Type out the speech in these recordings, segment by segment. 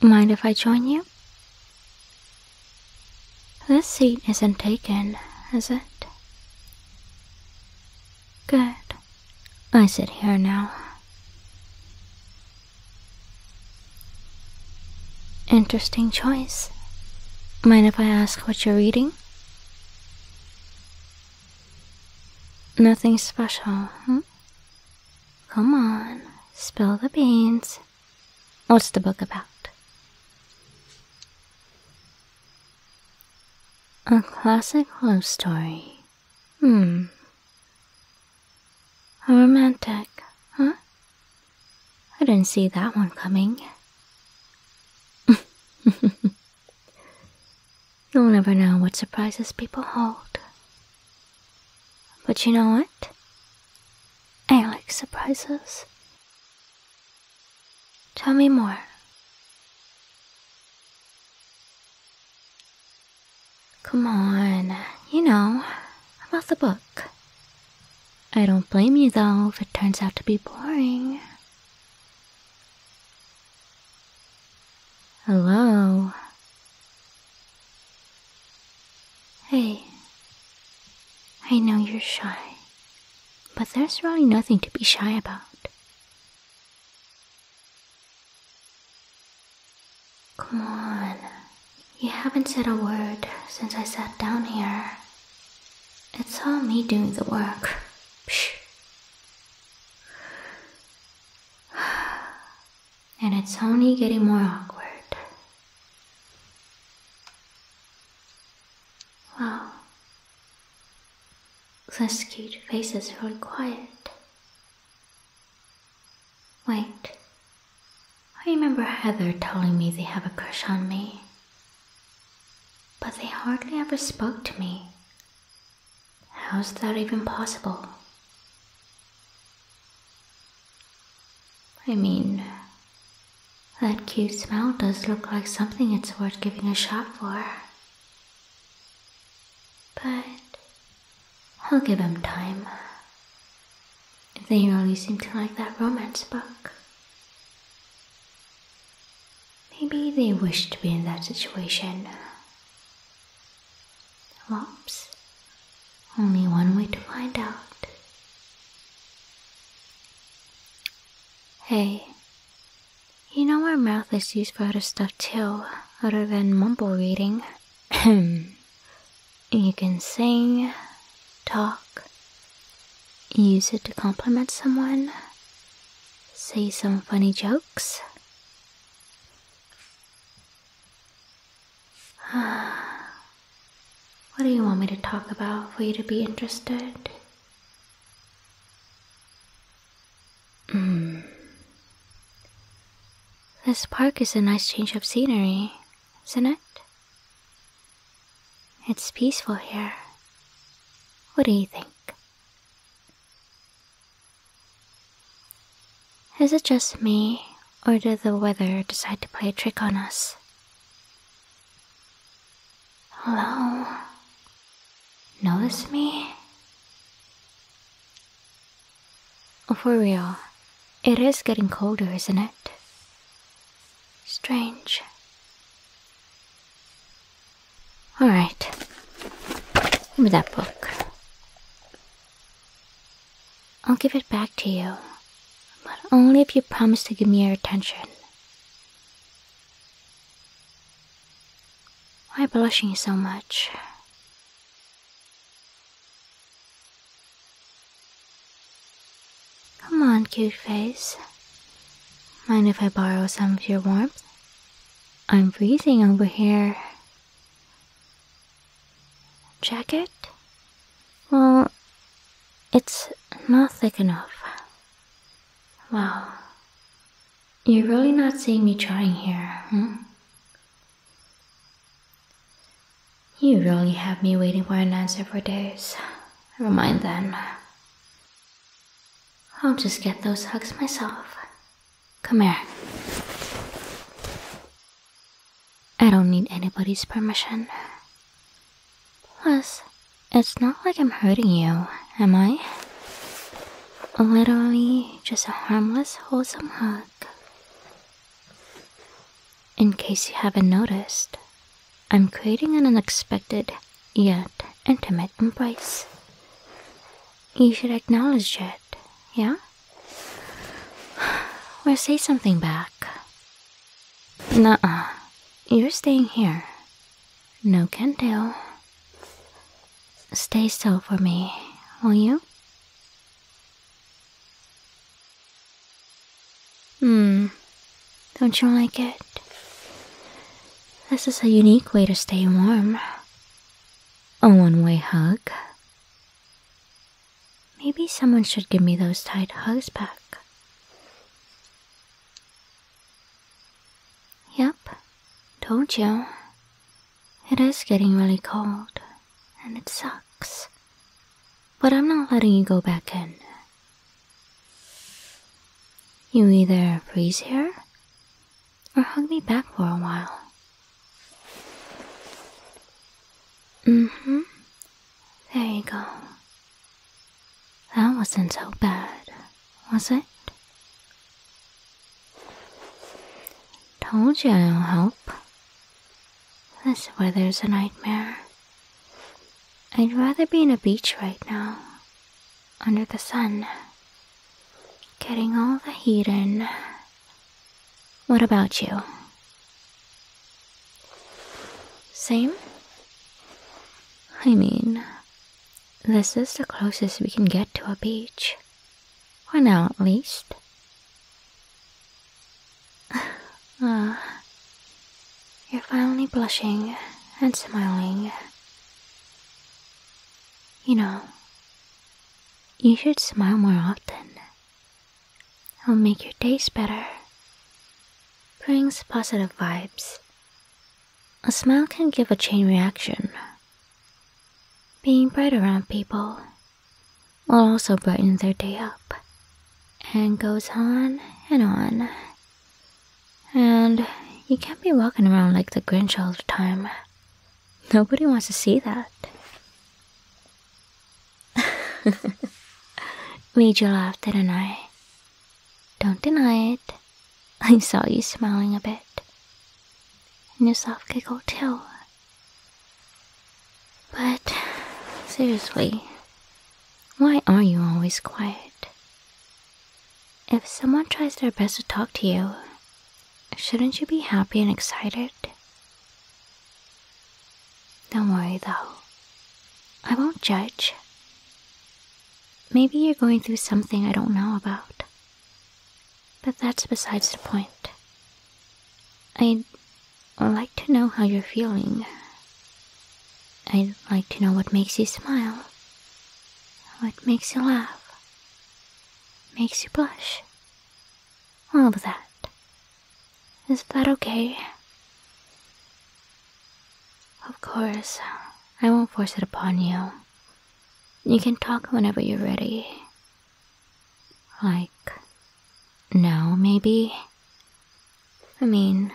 Mind if I join you? This seat isn't taken, is it? Good. I sit here now. Interesting choice. Mind if I ask what you're reading? Nothing special, hmm? Come on, spill the beans. What's the book about? A classic love story. Hmm. A romantic, huh? I didn't see that one coming. You'll never know what surprises people hold. But you know what? I like surprises. Tell me more. Come on, you know, about the book. I don't blame you though if it turns out to be boring. Hello. Hey, I know you're shy, but there's really nothing to be shy about. Come on, you haven't said a word since I sat down here. It's all me doing the work. Psh, And it's only getting more awkward. Wow. This cute faces is really quiet. Wait. I remember Heather telling me they have a crush on me. But they hardly ever spoke to me How's that even possible? I mean, that cute smile does look like something it's worth giving a shot for. But I'll give him time. If They really seem to like that romance book. Maybe they wish to be in that situation. Whoops. Only one way to find out. Hey, you know our mouth is used for other stuff too, other than mumble reading. you can sing, talk, use it to compliment someone, say some funny jokes. what do you want me to talk about for you to be interested? Hmm. This park is a nice change of scenery, isn't it? It's peaceful here. What do you think? Is it just me, or did the weather decide to play a trick on us? Hello? Notice me? For real, it is getting colder, isn't it? Strange. All right. Give me that book. I'll give it back to you, but only if you promise to give me your attention. Why blushing so much? Come on, cute face. Mind if I borrow some of your warmth? I'm freezing over here. Jacket? Well, it's not thick enough. Wow. You're really not seeing me trying here, hmm? You really have me waiting for an answer for days. Never mind then. I'll just get those hugs myself. Come here. I don't need anybody's permission. Plus, it's not like I'm hurting you, am I? Literally just a harmless, wholesome hug. In case you haven't noticed, I'm creating an unexpected yet intimate embrace. You should acknowledge it, yeah? Or say something back. Nuh uh. You're staying here. No can do. Stay still for me, will you? Hmm. Don't you like it? This is a unique way to stay warm. A one way hug. Maybe someone should give me those tight hugs back. Yep, told you. It is getting really cold, and it sucks. But I'm not letting you go back in. You either freeze here or hug me back for a while. hmm. There you go. That wasn't so bad, was it? Told you I'll help. This weather's a nightmare. I'd rather be in a beach right now under the sun, getting all the heat in. What about you? Same? I mean, this is the closest we can get to a beach. For now, at least. Ah, you're finally blushing and smiling. You know, you should smile more often. It'll make your days better. Brings positive vibes. A smile can give a chain reaction. Being bright around people will also brighten their day up. And goes on and on. And you can't be walking around like the Grinch all the time. Nobody wants to see that. Major laughed laugh, didn't I? Don't deny it. I saw you smiling a bit. And your soft giggle, too. But, seriously, why are you always quiet? If someone tries their best to talk to you, shouldn't you be happy and excited? Don't worry though, I won't judge. Maybe you're going through something I don't know about, but that's besides the point. I'd like to know how you're feeling. I'd like to know what makes you smile, what makes you laugh, makes you blush, all of that. Is that okay? Of course, I won't force it upon you. You can talk whenever you're ready. Like, now maybe? I mean,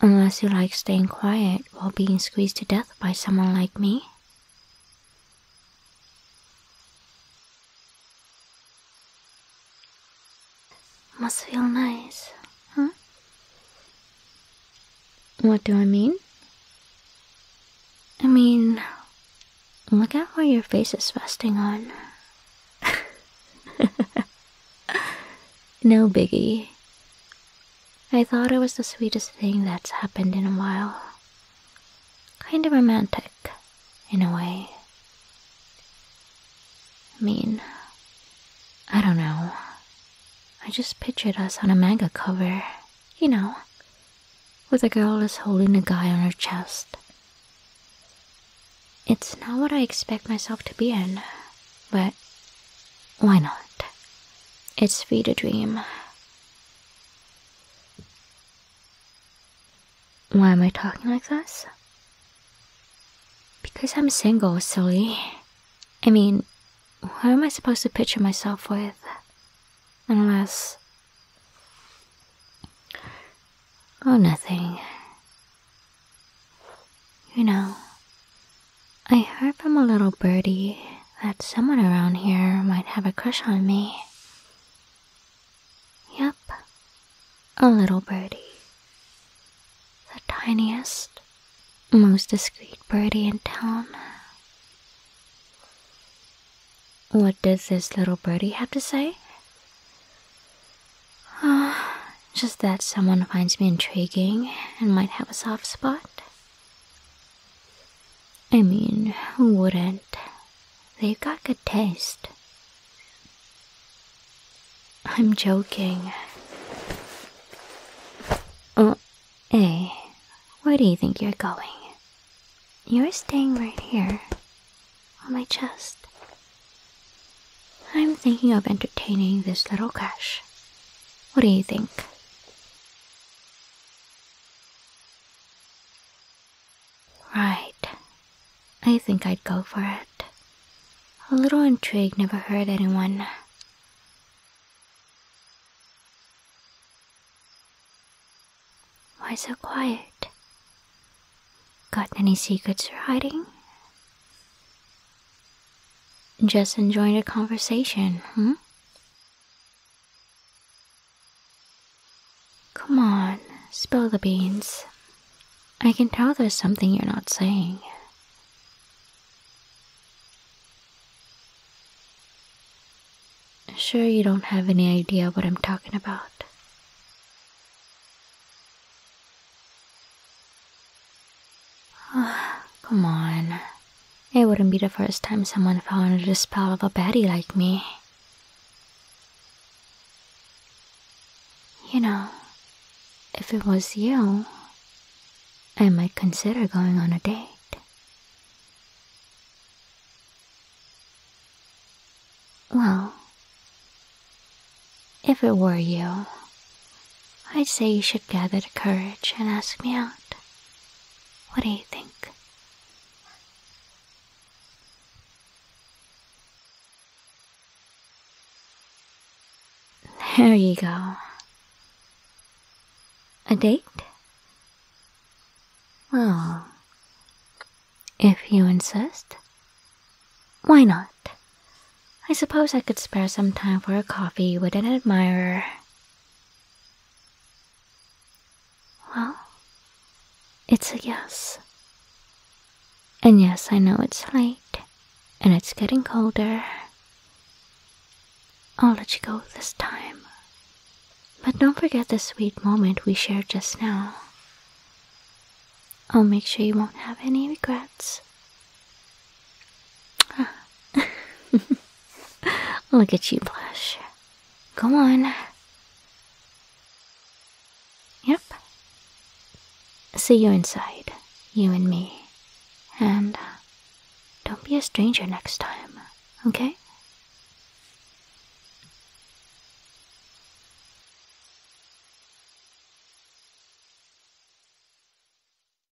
unless you like staying quiet while being squeezed to death by someone like me. Must feel nice, huh? What do I mean? I mean, look at where your face is resting on. no biggie. I thought it was the sweetest thing that's happened in a while. Kind of romantic, in a way. I mean, I don't know. I just pictured us on a manga cover, you know, with a girl is holding a guy on her chest. It's not what I expect myself to be in, but why not? It's free to dream. Why am I talking like this? Because I'm single, silly. I mean, who am I supposed to picture myself with? Unless... Oh, nothing. You know, I heard from a little birdie that someone around here might have a crush on me. Yup, a little birdie. The tiniest, most discreet birdie in town. What does this little birdie have to say? Oh, just that someone finds me intriguing and might have a soft spot. I mean, who wouldn't? They've got good taste. I'm joking. Uh, hey, where do you think you're going? You're staying right here, on my chest. I'm thinking of entertaining this little cash. What do you think? Right. I think I'd go for it. A little intrigue never hurt anyone. Why so quiet? Got any secrets you're hiding? Just enjoying a conversation, huh? Hmm? Come on, spill the beans. I can tell there's something you're not saying. Sure, you don't have any idea what I'm talking about. Come on. It wouldn't be the first time someone fell under the spell of a baddie like me. You know, if it was you, I might consider going on a date. Well, if it were you, I'd say you should gather the courage and ask me out. What do you think? There you go. A date? Well, if you insist, why not? I suppose I could spare some time for a coffee with an admirer well, it's a yes. And yes, I know it's late and it's getting colder. I'll let you go this time. But don't forget the sweet moment we shared just now. I'll make sure you won't have any regrets. Look at you blush. Go on. Yep. See you inside, you and me. And uh, don't be a stranger next time, okay?